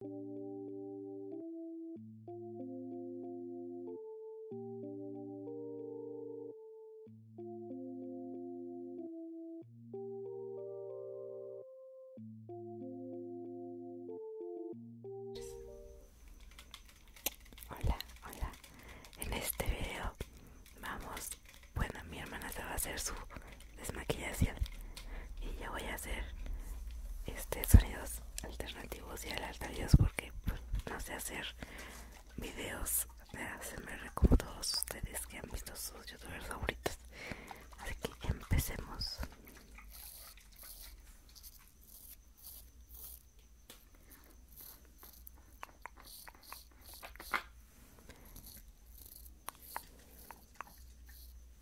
Hola, hola. En este video vamos, bueno, mi hermana se va a hacer su desmaquillación y ya voy a hacer este sonidos alternativos y aleatorios porque pues, no sé hacer videos de hacerme como todos ustedes que han visto sus youtubers favoritos así que empecemos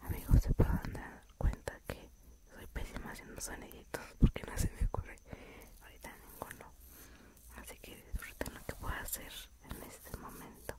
Amigos, se pueden dar cuenta que soy pésima haciendo soniditos porque no se me ocurre ahorita ninguno. Así que disfruten lo que puedo hacer en este momento.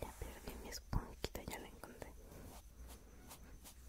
Ya perdí mi esponjita, ya la encontré.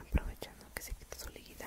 aprovechando que se quita su líquida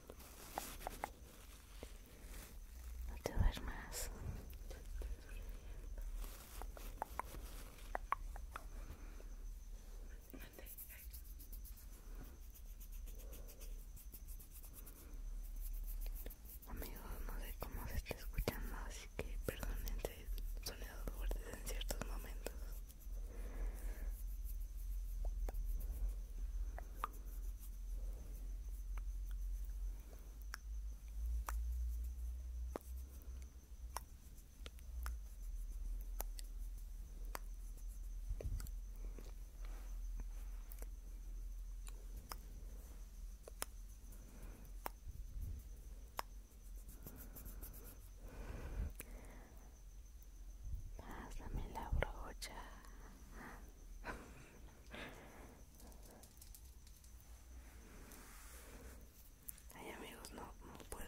No te duermas. Amigos, no sé cómo se está escuchando, así que perdonen este sonidos fuertes en ciertos momentos. Pásame la brocha. Ay amigos, no, no puedo.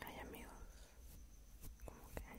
Hay amigos, como que hay.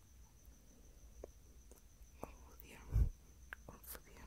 Confusión, confusión.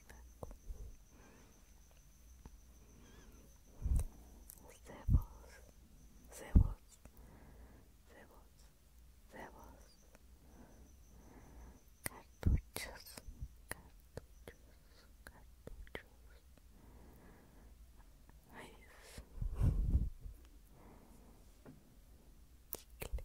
cebos, cebos, cebos, cebos, cartuchos, cartuchos, cartuchos, chicle,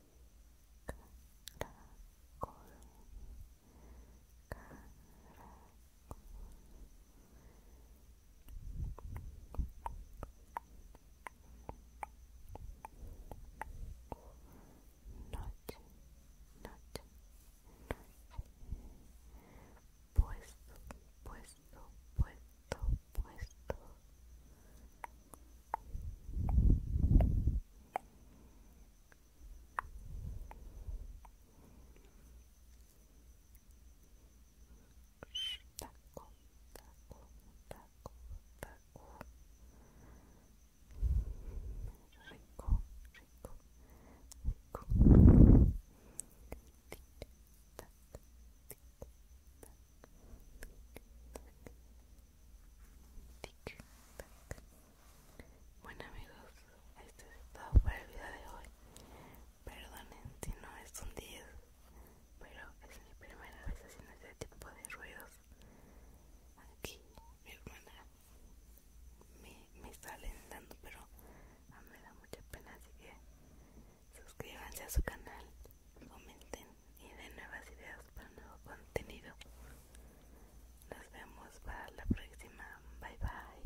caracol noche noche noche puesto puesto puesto puesto Taco, bueno amigos, esto es todo para el video de hoy. Perdonen si no es un 10, pero es mi primera vez haciendo este tipo de ruidos. Aquí mi hermana me, está alentando pero ah, me da mucha pena, así que suscríbanse a su canal comenten y den nuevas ideas para nuevo contenido. Nos vemos para la próxima. Bye bye.